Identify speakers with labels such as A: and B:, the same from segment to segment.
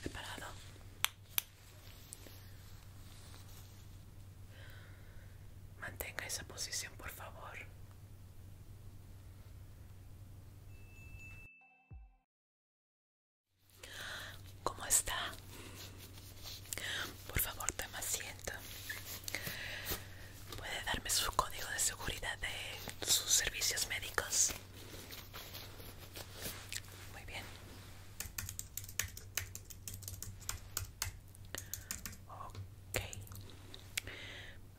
A: preparado mantenga esa posición por favor ¿Cómo está? Por favor, toma asiento. ¿Puede darme su código de seguridad de sus servicios médicos? Muy bien. Ok.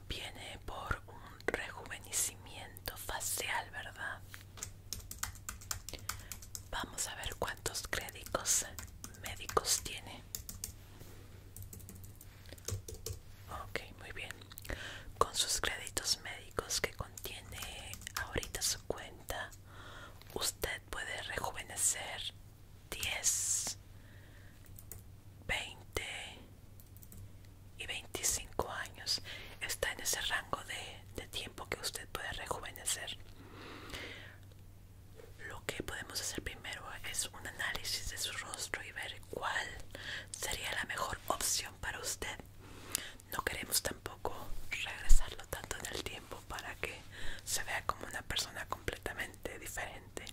A: Viene por un rejuvenecimiento facial, ¿verdad? Vamos a ver cuántos créditos médicos tiene. Ok, muy bien. Con sus créditos médicos que contiene ahorita su cuenta, usted puede rejuvenecer 10, 20 y 25 años. Está en ese rango de, de tiempo que usted puede rejuvenecer. Lo que podemos hacer primero es un análisis de su rostro y ver cuál sería la mejor opción para usted no queremos tampoco regresarlo tanto en el tiempo para que se vea como una persona completamente diferente.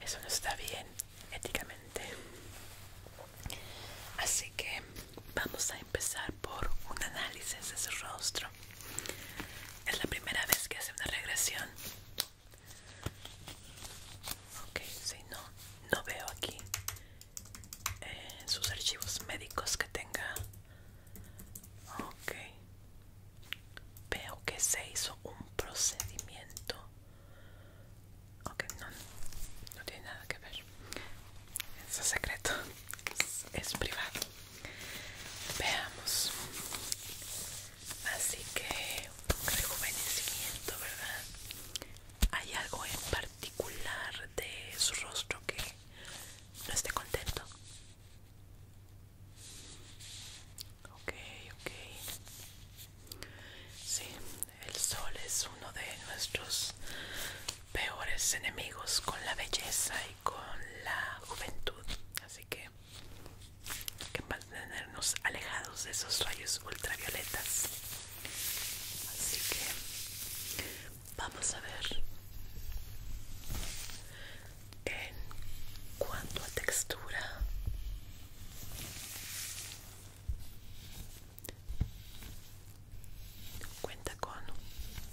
A: Eso no está bien éticamente. Así que vamos a empezar por un análisis de su rostro. Es la primera vez que hace una regresión. Ok, si no, no veo aquí en eh, sus archivos médicos que tenga. Ok. Veo que se hizo un procedimiento. Ok, no, no tiene nada que ver. Es secreto. Es, privado. Veamos. Así que un rejuvenecimiento, ¿verdad? hay algo en particular de su rostro que no esté contento. Ok, ok. Sí, el sol es uno de nuestros peores enemigos con la belleza y con la juventud. Así que hay que mantenernos alejados de esos rayos ultravioletas. Así que vamos a ver en cuanto a textura. Cuenta con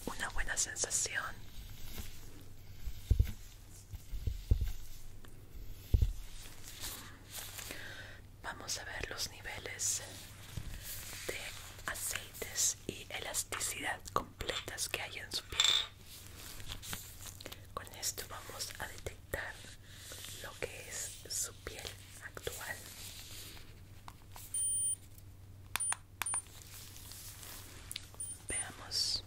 A: una buena sensación vamos a ver los niveles de aceites y elasticidad completas que hay en su piel. Con esto vamos a detectar lo que es su piel actual. Veamos.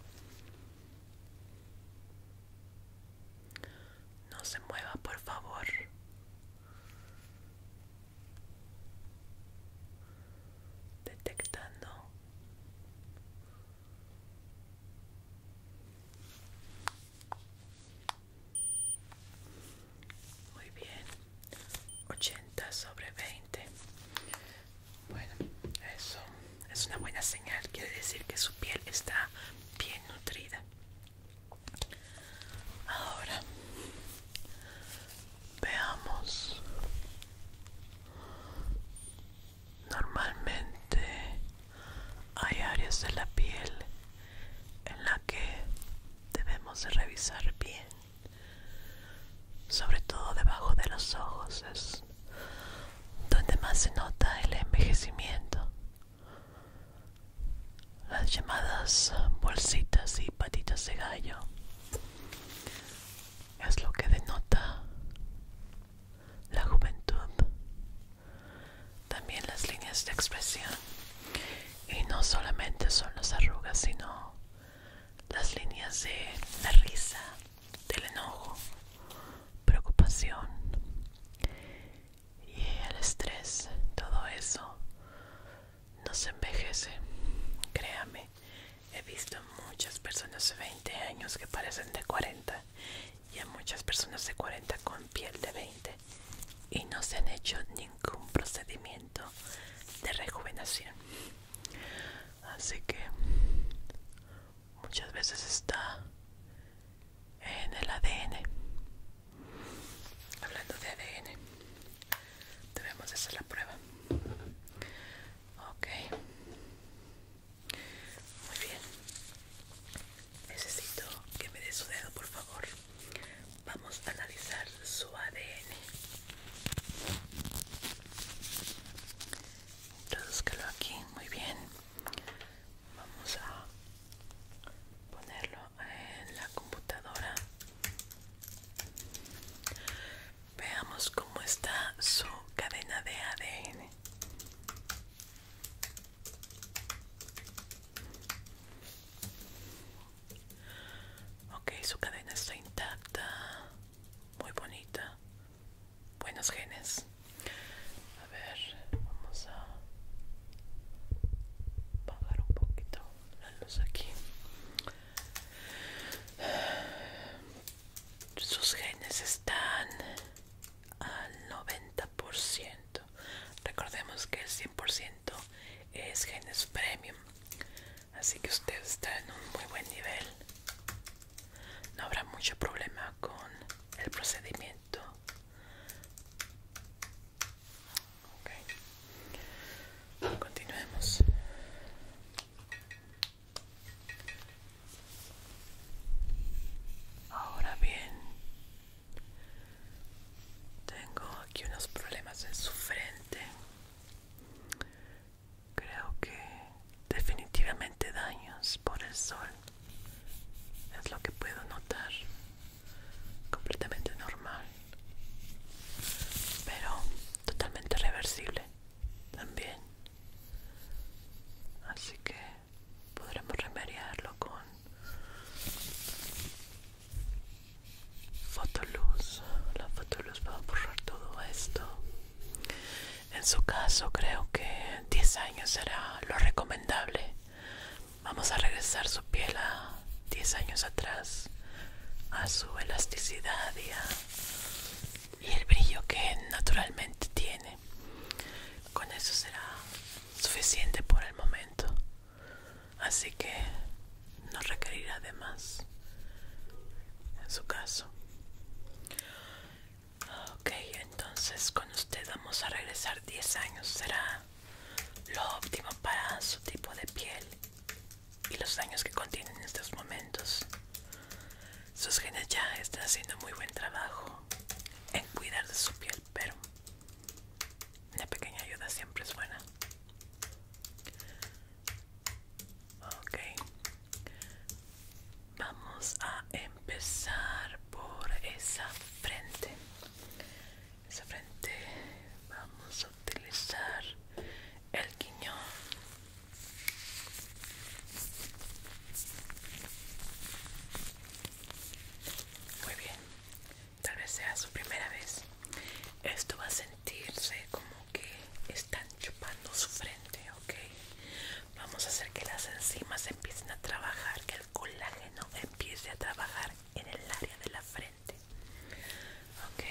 A: No se mueva, por favor detectando muy bien 80 sobre 20 bueno eso es una buena señal quiere decir que su piel está bien nutrida Ahora veamos. Normalmente hay áreas de la piel en la que debemos revisar bien, sobre todo debajo de los ojos es donde más se nota el envejecimiento las llamadas bolsitas y patitas de gallo es lo que denota la juventud también las líneas de expresión y no solamente son las arrugas sino las líneas de la risa del enojo preocupación y el estrés, todo eso nos envejece. Créame, he visto muchas personas de 20 años que parecen de 40 y a muchas personas de 40 con piel de 20 y no se han hecho ningún procedimiento de rejuvenación. Así que muchas veces está en el ADN. Hablando de ADN, debemos hacer la prueba. Ok. Muy bien. Necesito que me dé su dedo, por favor. Vamos a analizar su ADN. Introduzcalo aquí, muy bien vamos a ponerlo en la computadora veamos cómo está su cadena de ADN ok su cadena está intacta muy bonita buenos genes a ver vamos a Bajar un poquito aquí sus genes están al 90% recordemos que el 100% es genes premium así que usted está en un muy buen nivel no habrá mucho problema con el procedimiento continuemos ahora bien tengo aquí unos problemas en su frente creo que definitivamente daños por el sol es lo que puedo notar completamente normal pero totalmente reversible también así que podremos remediarlo con fotoluz la fotoluz va a borrar todo esto en su caso creo que 10 años será lo recomendable Vamos a regresar su piel a 10 años atrás, a su elasticidad y, el brillo que naturalmente tiene. Con eso será suficiente por el momento, así que no requerirá de más en su caso. Ok, entonces con usted vamos a regresar 10 años, será lo óptimo para su tipo de piel y los daños que contiene en estos momentos. Sus genes ya están haciendo muy buen trabajo en cuidar de su piel, pero una pequeña ayuda siempre es buena. Ok, vamos a empezar por esa frente esa frente vamos a utilizar el guiñón muy bien tal vez sea su primera vez esto va a sentirse como que están chupando su frente ok vamos a hacer que las enzimas empiecen a trabajar que el colágeno empiece a trabajar en el área de la frente ok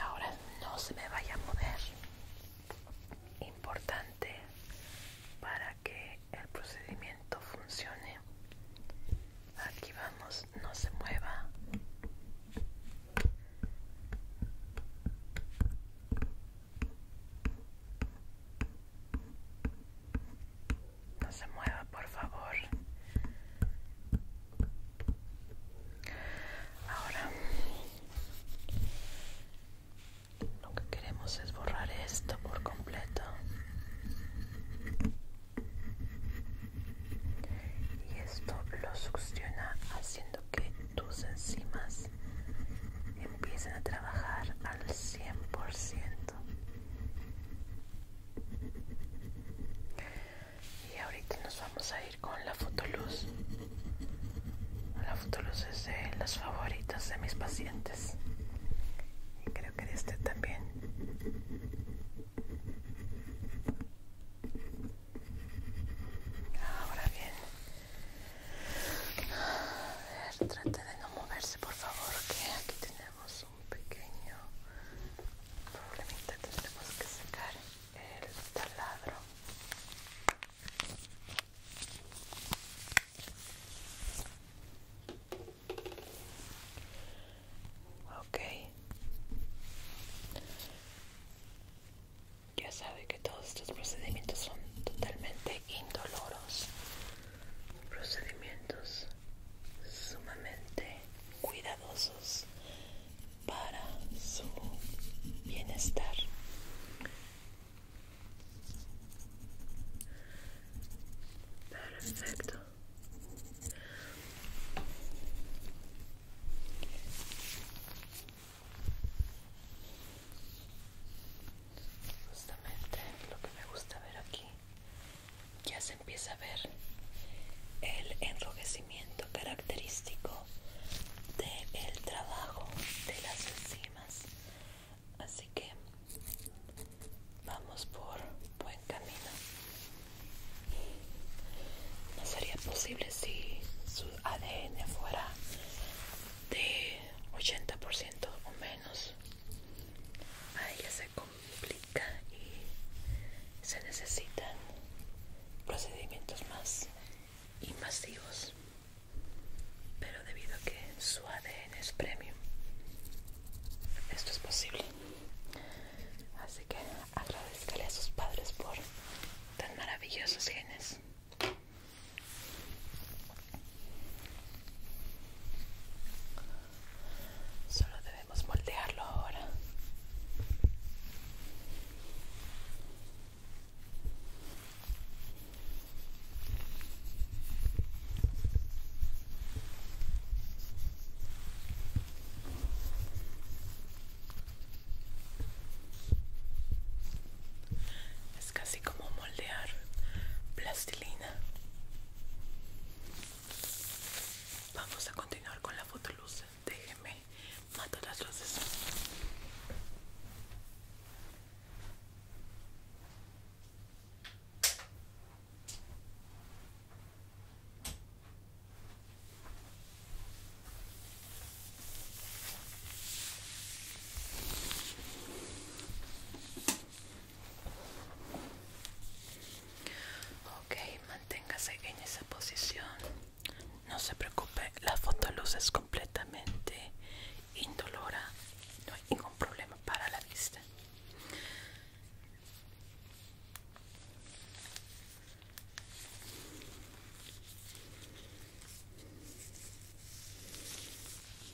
A: ahora no se me vaya a mover importante para que el procedimiento funcione aquí vamos no se mueva no se mueva, por favor. Ahora lo que queremos es borrar esto por completo. Y esto lo succiona haciendo que tus enzimas empiecen a trabajar al 100%. Y ahorita nos vamos a ir con la fotoluz. La fotoluz es de las favoritas de mis pacientes. Y creo que de este también. Ahora bien. A ver, trate de no moverse, por favor, que aquí tenemos un pequeño problemita, tendremos que sacar el taladro. Ok, ya sabe que todos estos procedimientos son totalmente indoloros procedimientos sumamente cuidadosos para su bienestar. Perfecto. Justamente lo que me gusta ver aquí ya se empieza a ver el enrojecimiento característico del trabajo de las enzimas así que vamos por buen camino no sería posible si su ADN fuera de 80% o menos a ella se complica y se necesitan procedimientos más invasivos pero debido a que su ADN es premium esto es posible así que agradezcale a sus padres por tan maravillosos genes Solo debemos moldearlo ahora. Es casi como moldear plastilina. Vamos a continuar con la fotoluz. Déjeme matar las luces. Ok, manténgase en esa posición. No se preocupe, la fotoluz es completamente indolora. No hay ningún problema para la vista.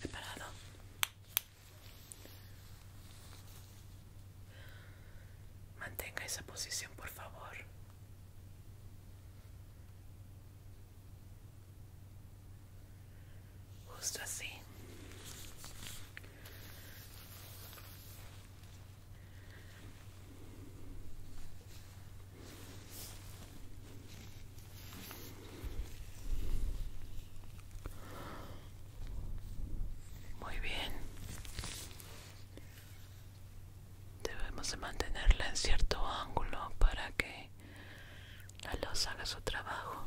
A: Preparado. Mantenga esa posición, por favor. Justo así. Muy bien. Debemos mantenerla en cierto ángulo para que la losa haga su trabajo.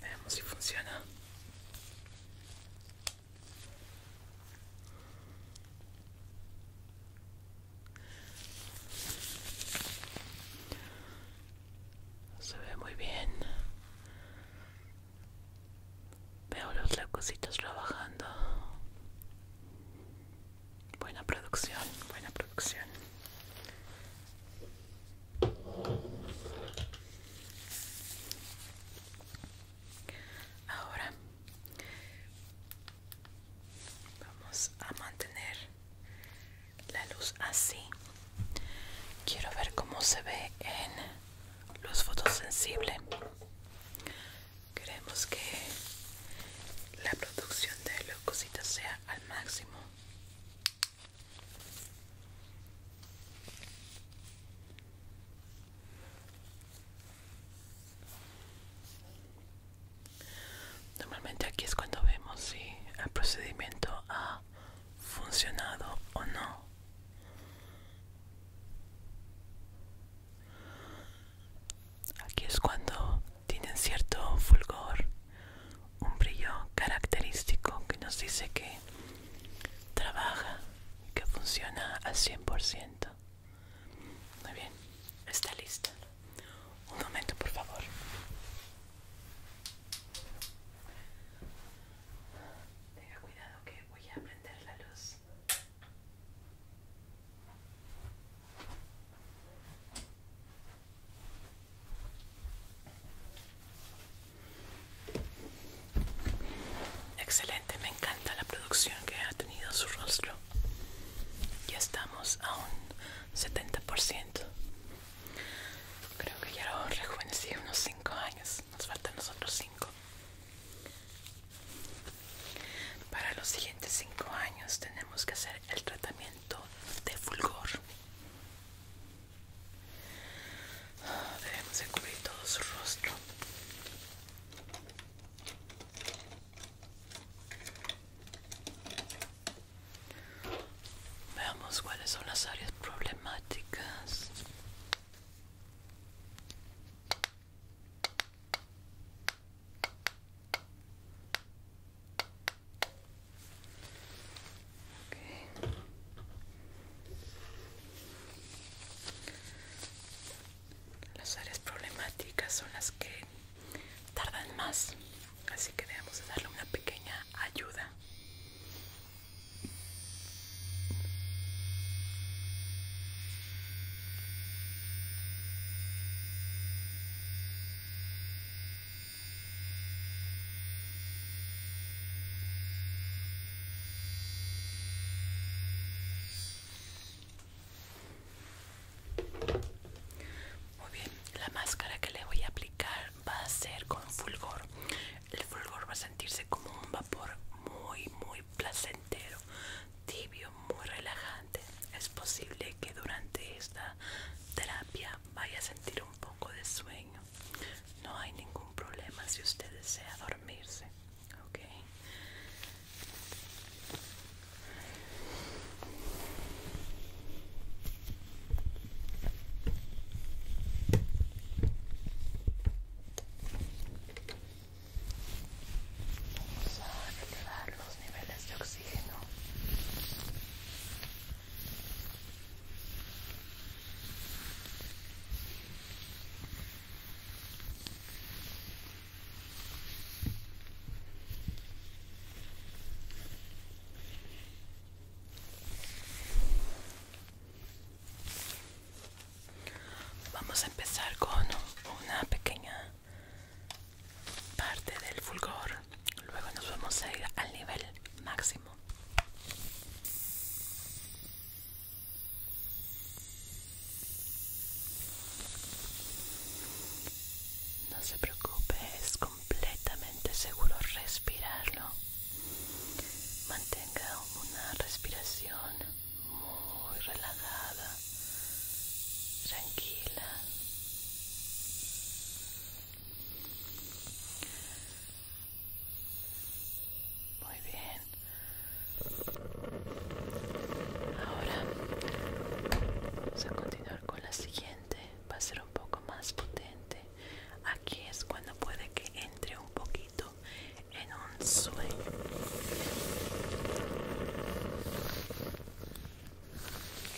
A: vemos si funciona. Se ve muy bien. Veo los locositos trabajando. Buena producción, buena producción. Ahora vamos a mantener la luz así. Quiero ver cómo se ve en luz fotosensible. Queremos que la producción de cositas sea al máximo. Normalmente aquí es cuando vemos si el procedimiento ha funcionado o no. Aquí es cuando tienen cierto fulgor un brillo característico que nos dice que trabaja, y que funciona al 100%. Muy bien, está listo. Un momento, por favor. Tenga cuidado que voy a prender la luz. Excelente, me encanta la producción que ha tenido su rostro. Ya estamos a un 70%. Creo que ya lo rejuvenecí unos 5 años. Nos faltan los otros 5. Para los siguientes 5 años tenemos que hacer el tratamiento de fulgor. Debemos cubrir todo su rostro. Veamos cuáles son las áreas problemáticas. Las áreas problemáticas son las que tardan más, así que debemos darle una pequeña ayuda. Muy bien, la máscara que le voy a aplicar va a ser con fulgor. El fulgor va a sentirse como un vapor muy, muy placentero, tibio, muy relajante. Es posible que durante esta terapia vaya a sentir un poco de sueño no hay ningún problema si usted desea dormirse ok Vamos a elevar los niveles de oxígeno. Vamos a empezar con una pequeña parte del fulgor luego nos vamos a ir al nivel máximo no se preocupe es completamente seguro respirarlo mantenga una respiración muy relajada tranquila muy bien. Ahora vamos a continuar con la siguiente. Va a ser un poco más potente. Aquí es cuando puede que entre un poquito en un sueño.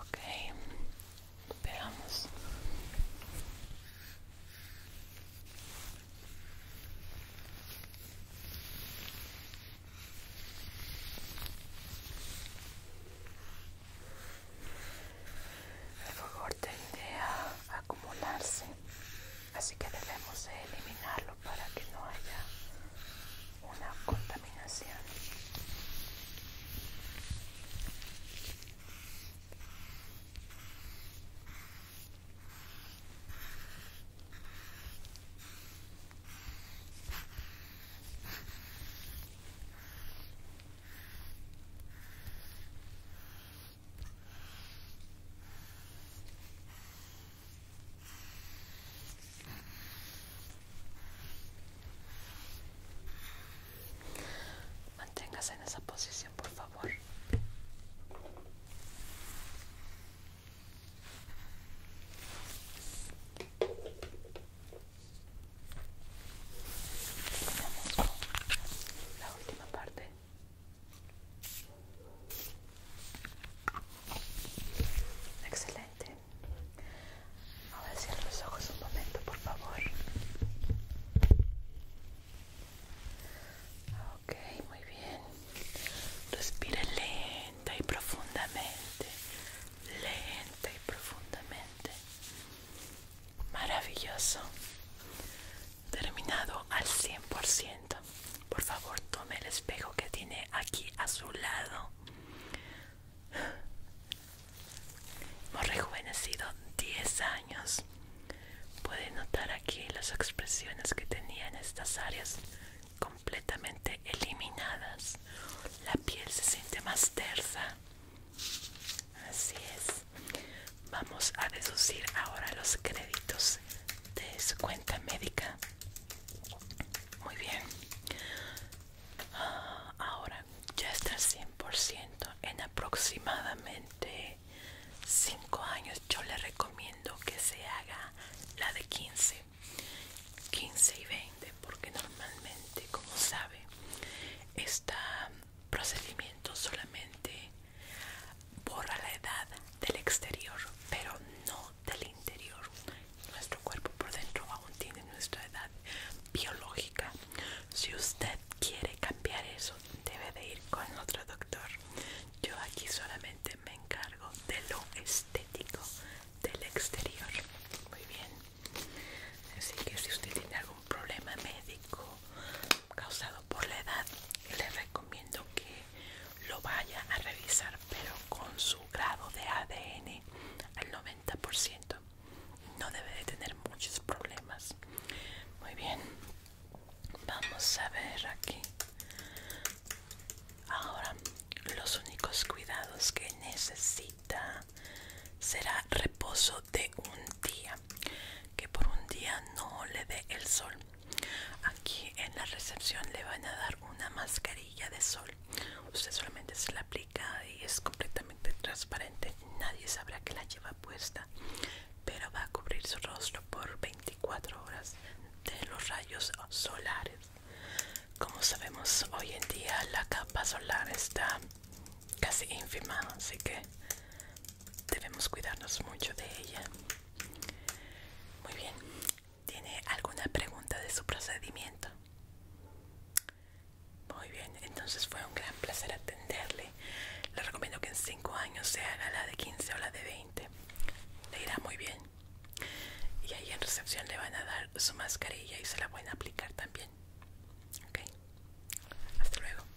A: Ok, esperamos. El favor tende a acumularse así que debemos eliminarlo para que no haya una contaminación Manténgase en esa posición, por favor. la última parte. Excelente. Ahora cierra los ojos un momento, por favor. Ok, muy bien. Respire lenta y profundamente. Lenta y profundamente. Maravilloso terminado al 100%. Por favor, tome el espejo que tiene aquí a su lado. Hemos rejuvenecido 10 años. Puede notar aquí las expresiones que tenía en estas áreas completamente eliminadas. La piel se siente más tersa. Así es. Vamos a reducir ahora los créditos de su cuenta médica. Muy bien. Ah, ahora ya está al 100% en aproximadamente 5 años. Yo le recomiendo que se haga la de 15. 15 y 20 porque normalmente como sabe Está procedimiento solamente borra la edad del exterior, pero no del interior. Nuestro cuerpo por dentro aún tiene nuestra edad biológica. Si usted quiere cambiar eso, debe de ir con otro doctor. Yo aquí solamente me encargo de lo estético del exterior. Muy bien. Así que si usted tiene problema médico causado por la edad, le recomiendo que lo vaya a revisar, pero con su grado de ADN al 90%. No debe de tener muchos problemas. Muy bien, vamos a ver aquí. Ahora, los únicos cuidados que necesita será reposo de un día que por un día no le dé el sol aquí en la recepción le van a dar una mascarilla de sol usted solamente se la aplica y es completamente transparente nadie sabrá que la lleva puesta pero va a cubrir su rostro por 24 horas de los rayos solares como sabemos hoy en día la capa solar está casi ínfima así que debemos cuidarnos mucho de ella. Muy bien, ¿tiene alguna pregunta de su procedimiento? Muy bien, entonces fue un gran placer atenderle. Le recomiendo que en 5 años se haga la de 15 o la de 20. Le irá muy bien. Y ahí en recepción le van a dar su mascarilla y se la pueden aplicar también. Ok, hasta luego.